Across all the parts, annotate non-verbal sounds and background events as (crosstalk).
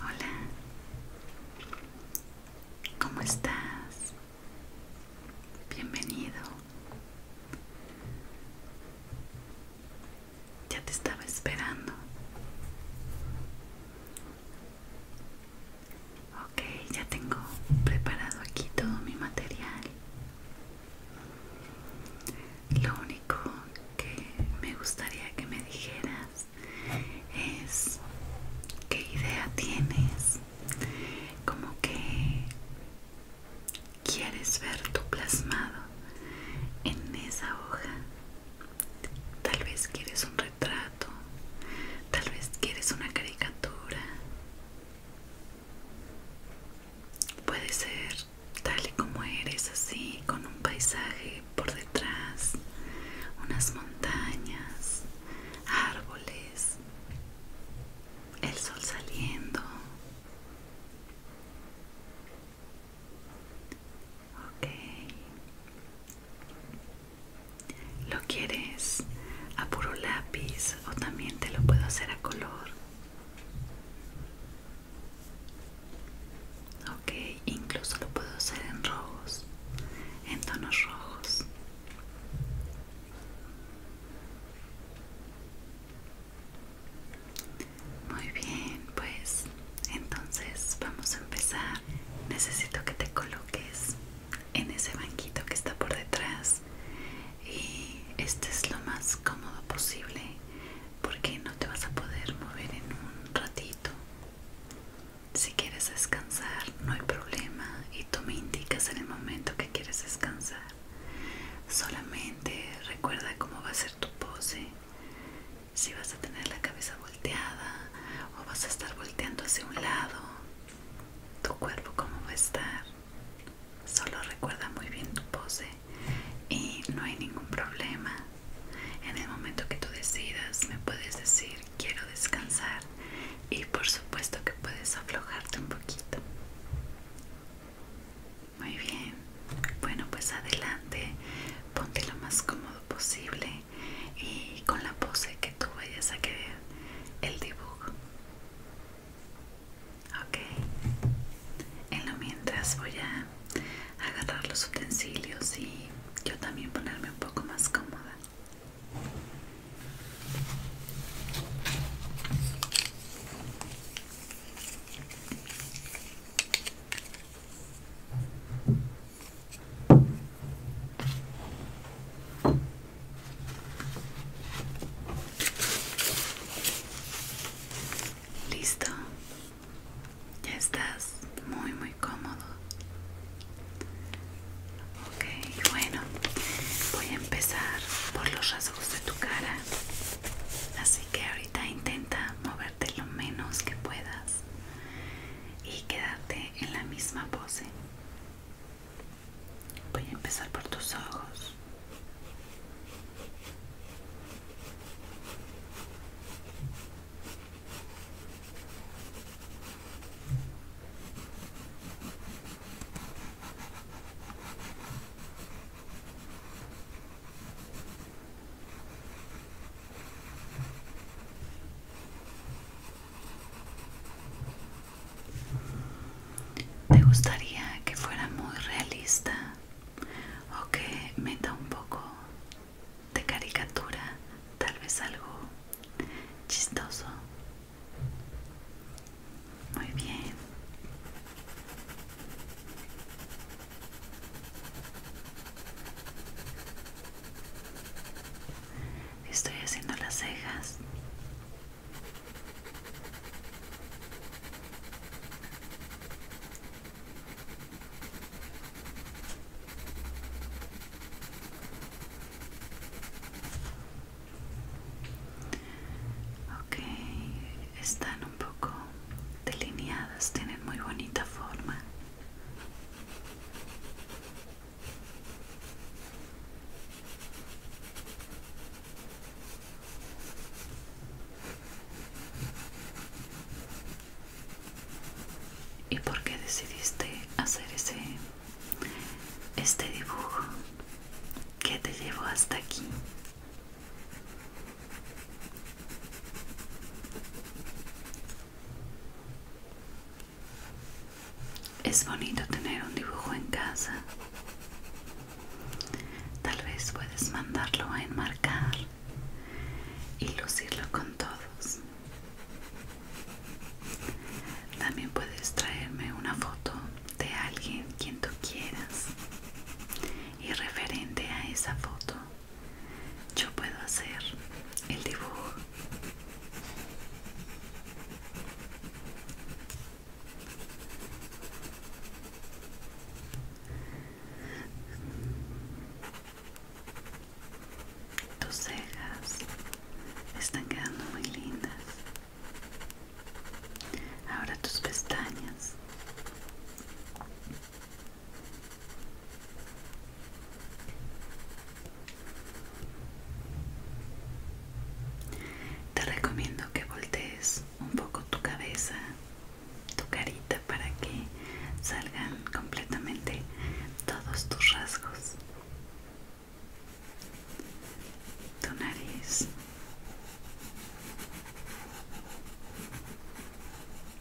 Hola, ¿cómo estás? Bienvenido. Ya te estaba esperando. Ok, ya tengo preparado aquí todo mi material. Lo único que me gustaría que me dijeras es qué idea tienes, como que quieres ver tu plasmado en esa hoja. Tal vez quieres un retrato, tal vez quieres una caricatura. Puede ser tal y como eres, así, con un paisaje por detrás, unas montañas, árboles, el sol saliendo. Okay. ¿Lo quieres a puro lápiz o también te lo puedo hacer a color? Ok, incluso lo puedo hacer en rojos, en tonos rojos. Muy bien, pues entonces vamos a empezar. Necesito que te coloques en ese banquito que está por detrás y este es lo más cómodo posible porque no te vas a poder mover en un ratito. Si quieres descansar, no hay problema y tú me indicas en el momento que quieres descansar. Solamente recuerda cómo va a ser tu pose si vas a tener la cabeza volteada o vas a estar volteando hacia un lado, tu cuerpo como va a estar. Solo recuerda muy bien tu pose y no hay ningún problema. En el momento que tú decidas me puedes decir quiero descansar y por supuesto que puedes aflojarte un poquito. Muy bien. Bueno, pues adelante. Ponte lo más cómodo posible y con la pose que tú vayas a querer el dibujo. Ok. En lo mientras voy a agarrar los utensilios y yo también ponerme un poco más cómoda. Listo, ya estás muy muy cómodo. Okay, bueno, voy a empezar por los rasgos de tu cara, así que ahorita intenta moverte lo menos que puedas y quedarte en la misma pose. Voy a empezar por tus ojos. Me gustaría que fuera muy realista o que meta un poco de caricatura, tal vez algo chistoso. Muy bien. Estoy haciendo las cejas. Okay, están un poco delineadas, tienen muy bonita forma. ¿Y por qué decidiste hacer ese este dibujo? que te llevó hasta aquí? Es bonito tener un dibujo en casa. Tal vez puedes mandarlo a enmarcar y lucirlo con todos. También puedes traerme una foto de alguien quien tú quieras y referente a esa foto yo puedo hacer el dibujo tus cejas están quedando muy lindas ahora tus pestañas te recomiendo que voltees un poco tu cabeza, tu carita para que salgan completamente todos tus rasgos. Tu nariz.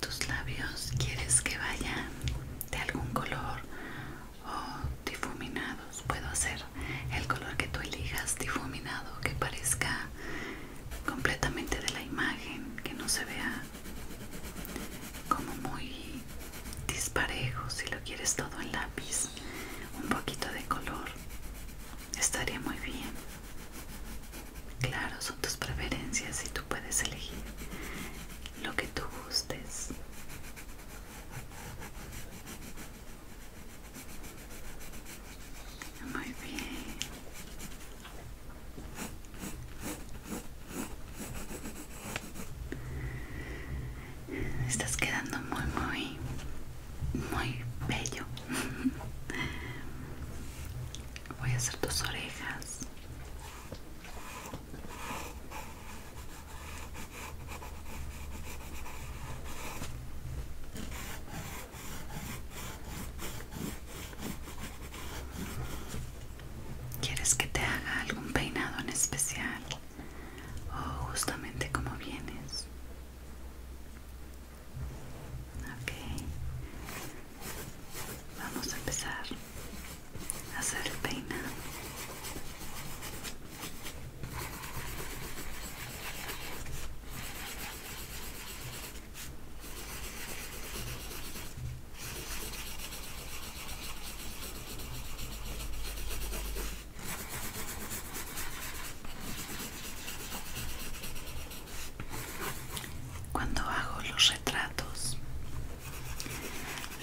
tus labios quieres que vayan de algún color o difuminados puedo hacer el color que tú elijas difuminado que parezca completamente de la imagen que no se vea como muy disparejo si lo quieres todo en lápiz un poquito de color estaría muy bien claro son tus preferencias y tú puedes elegir lo que tú gustes. Muy bien. Estás quedando muy, muy, muy bello. (laughs) Voy a hacer tus orejas. ¿Quieres que te haga algún peinado en especial? ¿O justamente como vienes? Ok. Vamos a empezar hacer el cuando hago los retratos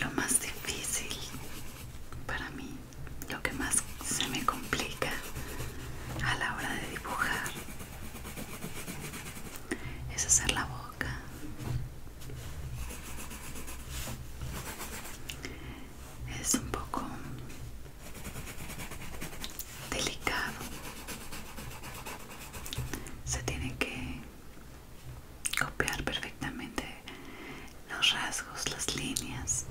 lo más difícil para mí, lo que más se me complica a la hora de dibujar es hacer la boca. Es un poco delicado. Se tiene que copiar perfectamente los rasgos, las líneas.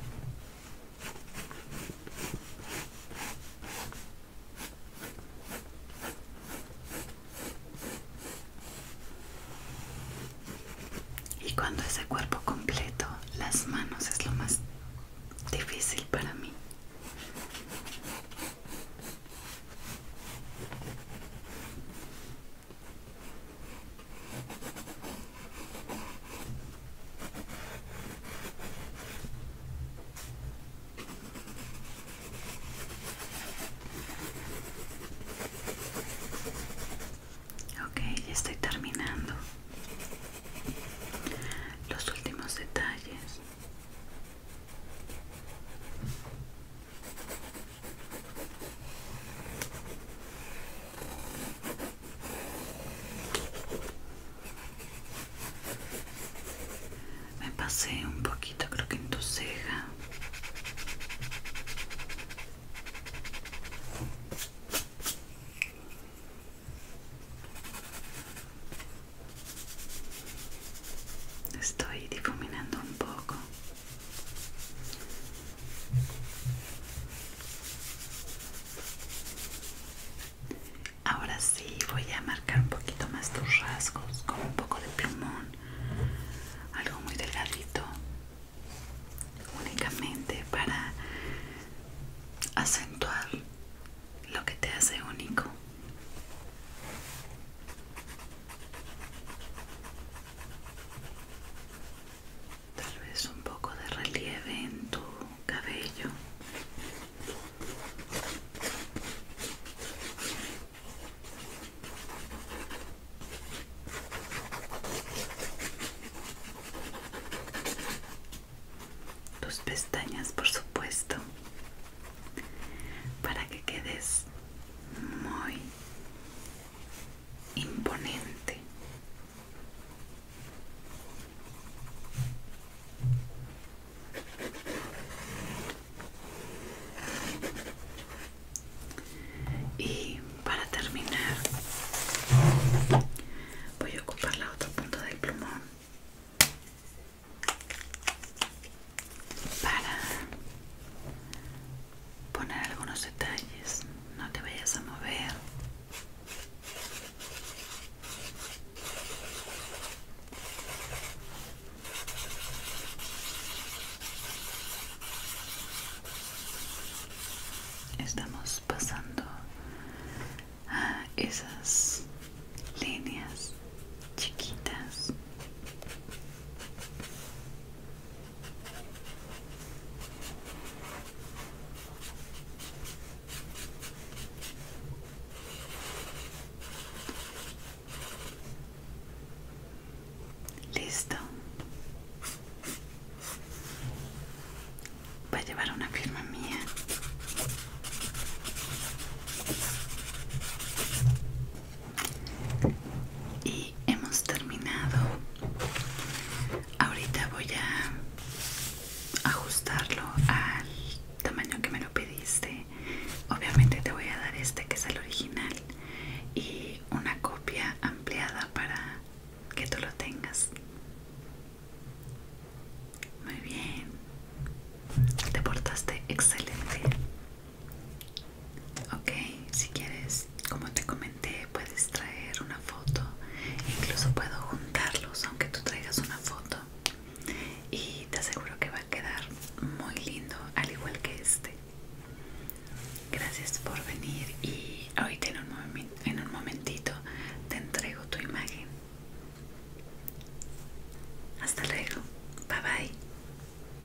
Y cuando ese cuerpo completo, las manos es lo más difícil para mí. Okay, ya estoy terminando los últimos detalles. Me pasé un poquito, creo que en tu ceja. Estoy difuminando un poco. Ahora sí voy a marcar un poquito más tus rasgos con un poco de plumón, algo muy delgadito, únicamente para acentuar lo que te hace único. Tal vez un poco de relieve en tu cabello. Tus pestañas, por supuesto, para que quedes muy imponente. Y para terminar, voy a ocupar la otra punta del plumón para poner algunos detalles. No te vayas a mover. Estamos pasando a esas líneas chiquitas Listo. Voy a llevar una firma mía y hemos terminado ahorita voy a ajustarlo al tamaño que me lo pediste obviamente te voy a dar este que es el original y una copia ampliada para que tú lo tengas muy bien te portaste excelente Ok, si quieres, como te comenté, puedes traer una foto. Incluso puedo juntarlos, aunque tú traigas una foto. Y te aseguro que va a quedar muy lindo, al igual que este. Gracias por venir y ahorita en un, en un momentito te entrego tu imagen. Hasta luego. Bye bye.